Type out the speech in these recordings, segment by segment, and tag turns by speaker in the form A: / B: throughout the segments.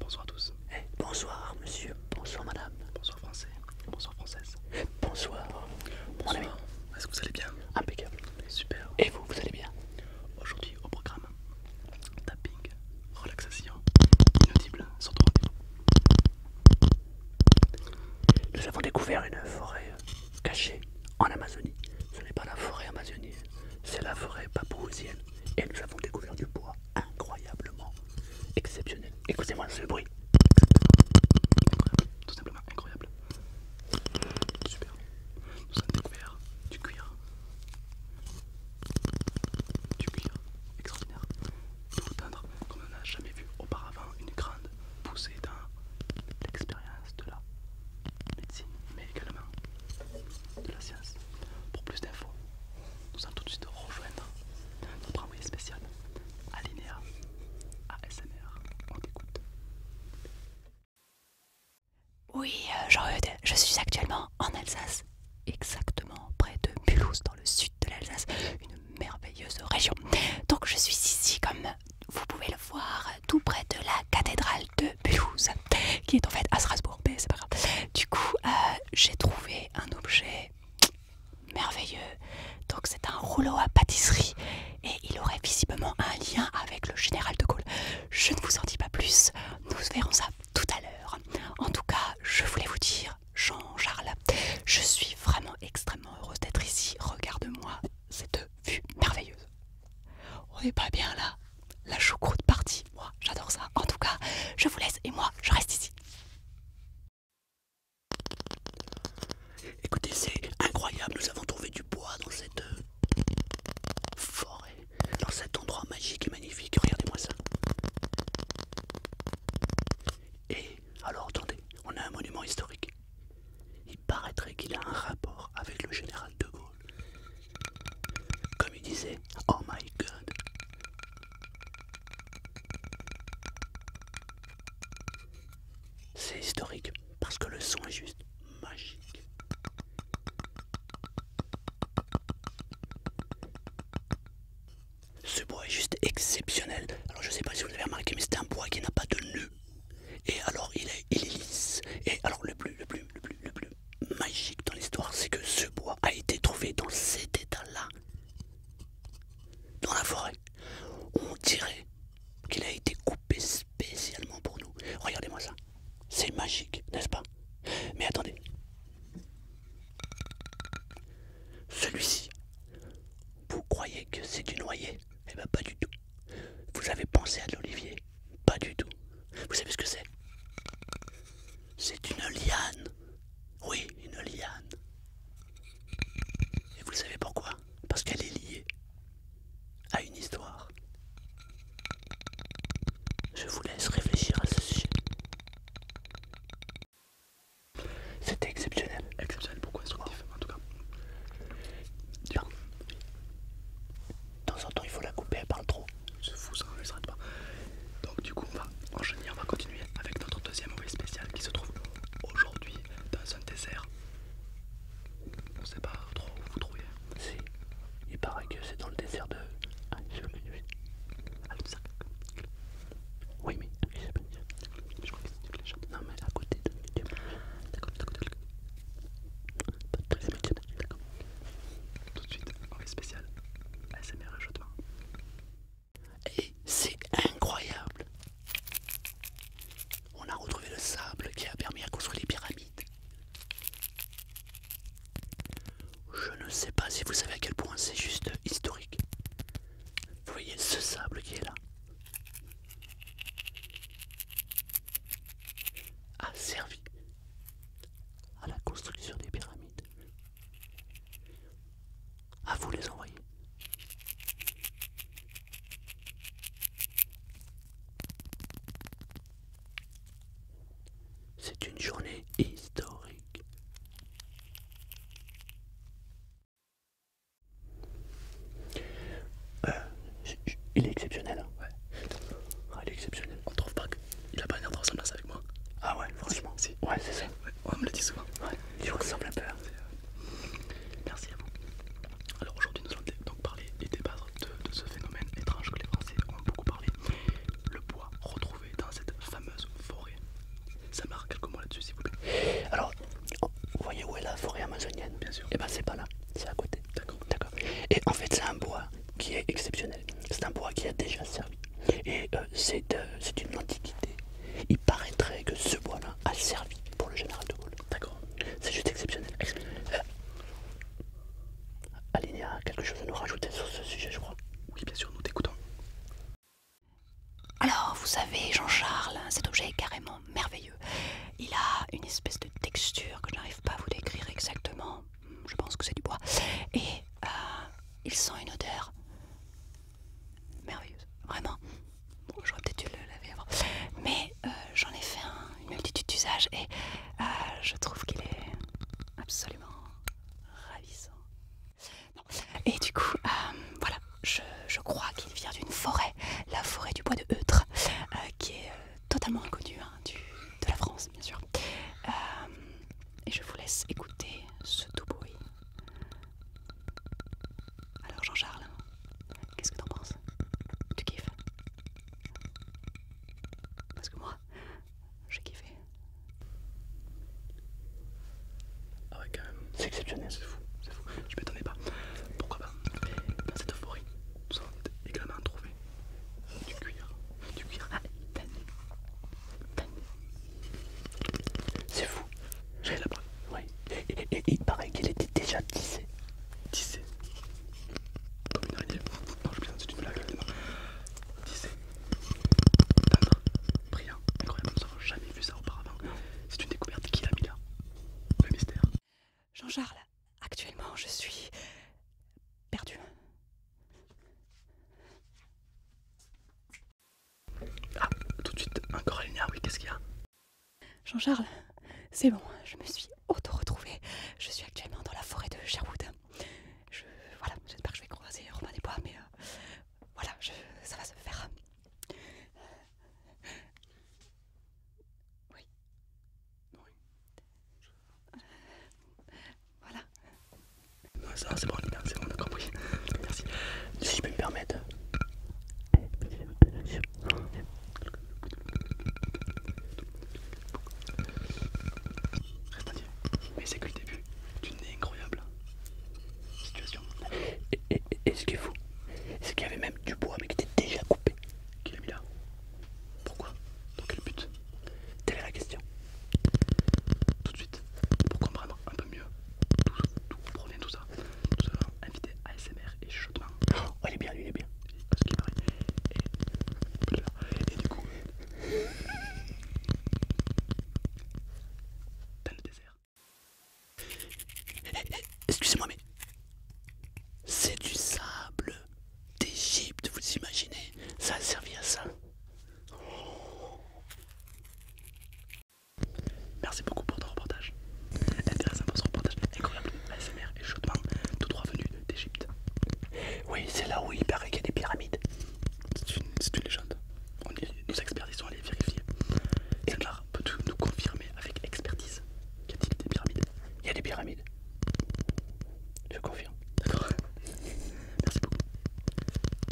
A: Bonsoir à tous. Eh, bonsoir monsieur, bonsoir madame. Bonsoir français, bonsoir française. Bonsoir. Bonsoir. Est-ce que vous allez bien Impeccable. Super. Et vous, vous allez bien Aujourd'hui au programme, tapping, relaxation, inaudible, sur Nous avons découvert une forêt euh, cachée en Amazonie. Ce n'est pas la forêt amazonienne, c'est la forêt papouasienne. Et nous avons découvert du bois incroyablement exceptionnel. Écoutez-moi ce bruit. tout simplement incroyable. Super. Nous avons découvert du cuir. Du cuir extraordinaire. tout teindre comme on n'a jamais vu auparavant une grande poussée dans l'expérience de la médecine, mais également de la science. Pour plus d'infos, nous allons tout de suite rejoindre notre envoyé spécial Alinea
B: ASMR. On écoute. Oui, euh, jean je suis actuellement en Alsace, exactement près de Mulhouse, dans le sud de l'Alsace, une merveilleuse région. Donc je suis ici, comme vous pouvez le voir, tout près de la cathédrale de Mulhouse, qui est en fait à Strasbourg, mais c'est pas grave. Du coup, euh, j'ai trouvé un objet merveilleux donc c'est un rouleau à pâtisserie et il aurait visiblement un lien avec le général de Gaulle. Je ne vous en dis pas plus, nous verrons ça tout à l'heure. En tout cas, je voulais vous dire, Jean-Charles, je suis vraiment extrêmement heureuse d'être ici. Regarde-moi cette vue merveilleuse. On n'est pas bien là. La choucroute partie, moi j'adore ça. En tout cas, je vous laisse et moi je reste ici.
A: Écoutez, c'est incroyable, nous avons trouvé du bois dans cette euh, forêt, dans cet endroit magique et magnifique, regardez-moi ça. Et alors attendez, on a un monument historique. Il paraîtrait qu'il a un rapport avec le général de Gaulle. Comme il disait, oh my god. C'est historique parce que le son est juste magique. Ce bois est juste exceptionnel. Alors je sais pas si vous avez remarqué, mais c'est un bois qui n'a pas de nœud. Et alors il est, il est lisse. Et alors le plus, le plus, le plus, le plus magique dans l'histoire, c'est que ce bois a été trouvé dans cet état-là, dans la forêt on dirait qu'il a été coupé spécialement pour nous. Regardez-moi ça. C'est magique, n'est-ce pas Mais attendez. Celui-ci, vous croyez que c'est du noyer Eh bien pas du tout. Vous avez pensé à de l'olivier Pas du tout. Vous savez ce que c'est C'est une liane. Oui, une liane. Et vous savez pourquoi Parce qu'elle est liée à une histoire. Je vous laisse réfléchir à ce sujet. C'était exceptionnel. Exceptionnel, pourquoi instructif en tout cas Tiens. De temps en temps, il faut la couper, elle parle trop. fou ça, elle pas. Donc, du coup, on va enchaîner, on va continuer avec notre deuxième OV spécial qui se trouve aujourd'hui dans un désert. On sait pas trop où vous trouvez. Si, il paraît que c'est dans le désert de. Ah, Oui, mais je crois que c'est Non, mais à côté de. D'accord, Tout de suite, en spécial. ASMR et c'est incroyable. On a retrouvé le sable qui a permis à construire les pyramides. Je ne sais pas si vous savez à quel point c'est juste historique. Vous voyez ce sable qui est là a servi à la construction des pyramides. À vous les envoyer. C'est une journée historique. Euh, il est exceptionnel. Hein. ouais. Ah, il est exceptionnel. On trouve pas que il a pas l'air de ressembler à ça avec moi. Ah ouais, franchement. Ouais, c'est ça. Ouais, on me le dit souvent. Ouais, ressemble ressemble un peu. Hein. Euh, merci à vous. Alors aujourd'hui, nous allons donc parler et débattre de, ce phénomène étrange que les Français ont beaucoup parlé. Le bois retrouvé dans cette fameuse forêt. Ça marque quelques mots là-dessus, s'il vous plaît. Alors, vous voyez où est la forêt amazonienne Bien sûr. Et eh ben c'est pas là, c'est à côté. D'accord. D'accord. Et en fait, c'est un bois qui est exceptionnel. C'est un bois qui a déjà servi. Et euh, euh, c'est une antiquité. Il paraîtrait que ce bois-là a servi pour le général de Gaulle. D'accord C'est juste exceptionnel. Euh, Alinea, quelque chose à nous rajouter sur ce sujet, je crois. Oui, bien sûr, nous t'écoutons. Alors, vous
B: savez, Jean-Charles, cet objet est carrément merveilleux. Il a une espèce de texture que je n'arrive pas à vous décrire exactement je pense que c'est du bois, et euh, il sent une odeur merveilleuse, vraiment. Bon, J'aurais peut-être dû le laver avant, mais euh, j'en ai fait une multitude d'usages et euh, je trouve qu'il est absolument ravissant. Et du coup, voilà, je, crois qu'il vient d'une forêt, la forêt du bois de Eutre, qui est totalement inconnue hein, de la France, bien sûr et je vous laisse écouter ce doux bruit. Alors Jean-Charles, qu'est-ce que t'en penses Tu kiffes
A: Parce que moi, j'ai kiffé. Ah ouais quand même, c'est exceptionnel. C'est fou, c'est fou. Je m'étonnais pas. Pourquoi pas cette euphorie, être également trouver du cuir, du cuir tanné, ah, C'est fou, j'ai la preuve. Ouais. Et, il paraît qu'il était déjà tissé. Tissé Comme une araignée. Non, je plaisante, c'est une blague, Tissé. Tendre, brillant, incroyable. Nous n'avons jamais vu ça auparavant. C'est une découverte qui l'a mis là. Le
B: mystère. Jean-Charles,
A: Actuellement, je suis perdue. Ah, tout de suite, encore oui, qu'est-ce qu'il y a
B: Jean-Charles, c'est bon, je me suis auto-retrouvée. Je suis actuellement dans la forêt de Sherwood. Je, voilà, j'espère que je vais croiser Romain des Bois, mais euh, voilà, ça va se faire. Oui. Oui. Voilà. ça c'est bon, c'est bon, on a
A: compris. Merci. Si je peux me permettre. Reste dire, Mais c'est que le début d'une incroyable situation. Et ce qui est fou, c'est qu'il y avait même du bois mais qui était déjà coupé Qu'il a mis là Pourquoi donc le but Telle est la question. Tout de suite, pour comprendre un peu mieux d'où provient tout ça, nous allons inviter ASMR et Chaudement. Oh, il est bien, lui, il est bien. Et, du coup, dans le désert. Eh, eh, excusez-moi, mais c'est du sable. D'Egypte, vous imaginez Ça a servi à ça. Merci beaucoup pour ton reportage. Intéressant pour ce reportage. Incroyable. ASMR et chaudement, tous trois venus d'Égypte. Oui, c'est là où il paraît qu'il y a des pyramides. C'est une, c'est une légende. On expertisons, nos experts ils à aller vérifier. Elmar, peux-tu nous confirmer avec expertise qu'il y a des pyramides Il y a des pyramides. Je confirme. D'accord Merci beaucoup.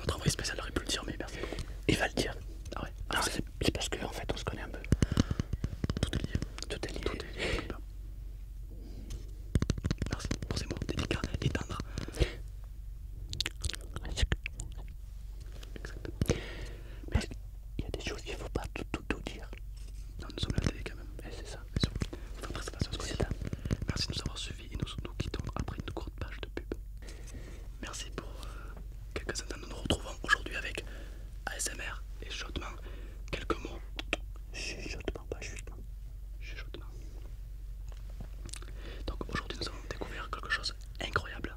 A: Notre envoyé spécial aurait pu le dire, mais merci beaucoup. Il va le dire. Ah ouais ah, C'est parce qu'en fait on se connaît un peu. Tout est lié. Tout est lié. Tout est Merci pour ces mots délicats et tendres. Exactement. Mais il y a des choses qu'il ne faut pas tout tout, dire. Non, nous sommes la télé quand même. Et eh, c'est ça, bien à Merci de nous avoir suivis et nous nous quittons après une courte page de pub. Merci pour euh, quelques instants. Nous nous retrouvons aujourd'hui avec ASMR et chuchotement. Quelques mots. Chuchotement, pas chuchotement. Chuchotement. Donc aujourd'hui nous avons découvert quelque chose d'incroyable.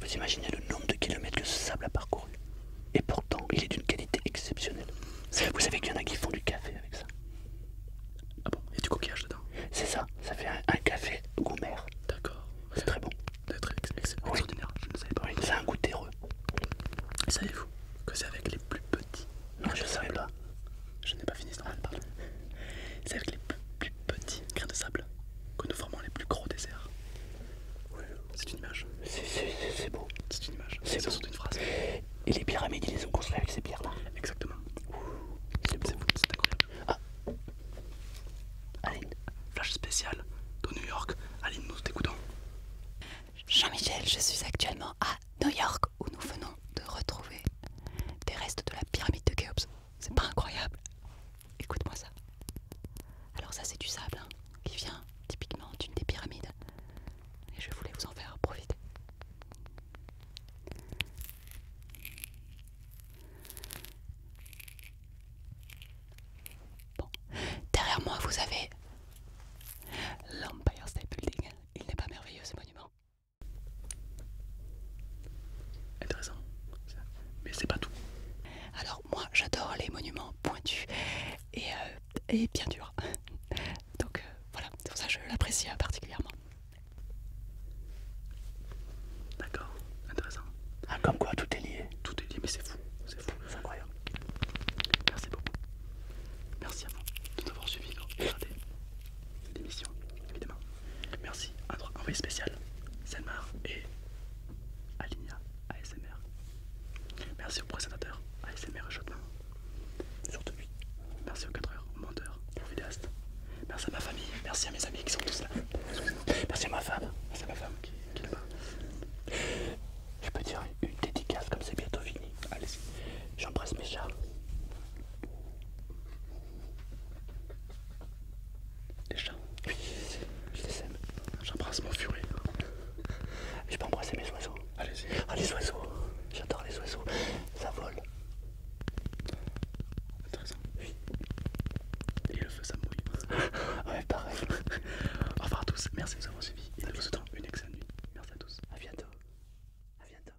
A: vous imaginez le nombre de kilomètres que ce sable a parcouru. Et pourtant, il est d'une qualité exceptionnelle. Vous savez qu'il y en a qui font du café avec ça. Ah bon, il y a du coquillage dedans C'est ça, ça fait un, café gomère. D'accord. C'est très bon. C'est extraordinaire, je ne savais pas. c'est un goût terreux. Savez-vous que c'est avec les plus petits Non, je ne savais pas. Je n'ai pas fini, c'est normal, pardon. C'est avec les plus petits grains de sable que nous formons les plus gros déserts. C'est une image. C'est beau. C'est une image. C'est une phrase. Et les pyramides, ils les ont construites avec ces pierres-là. Exactement. C'est C'est incroyable. Ah. Aline. Flash spécial de New York. Aline, nous t'écoutons. Jean-Michel, je suis
B: actuellement à New York où nous venons de retrouver des restes de la pyramide de Khéops. C'est pas incroyable Écoute-moi ça. Alors ça c'est du sable hein, qui vient typiquement d'une des pyramides. Et je voulais vous en faire profiter. Bon. Derrière moi vous avez l'Empire State Building. Il n'est pas merveilleux ce monument. Intéressant. Mais c'est pas tout. Alors moi j'adore les monuments pointus et, euh, bien dur
A: Donc euh, voilà, ça je l'apprécie euh, particulièrement. D'accord, intéressant. Ah, comme quoi tout est lié. Tout est lié, mais c'est fou. C'est fou. C'est incroyable. Merci beaucoup. Merci à vous de m'avoir suivi l'émission, évidemment. Merci à envoyé spécial, Selmar et Alinia ASMR. Merci au présentateur ASMR Chaudement Surtout lui. Merci aux 4 heures, aux menteurs, aux vidéastes. Merci à ma famille, merci à mes amis qui sont tous là. Merci à ma femme, merci à ma femme qui, est là Je peux dire une dédicace comme c'est bientôt fini. Allez-y, j'embrasse mes chats. Les chats. Oui, je les aime. J'embrasse mon furet. Je peux embrasser mes oiseaux. Allez-y. Ah, les oiseaux. J'adore les oiseaux. Ça vole. Intéressant. Et le feu, ça mouille. ouais, pareil. Au revoir à tous. Merci de nous avoir suivis. Et nous vous souhaitons une excellente nuit. Merci à tous. A bientôt. À bientôt.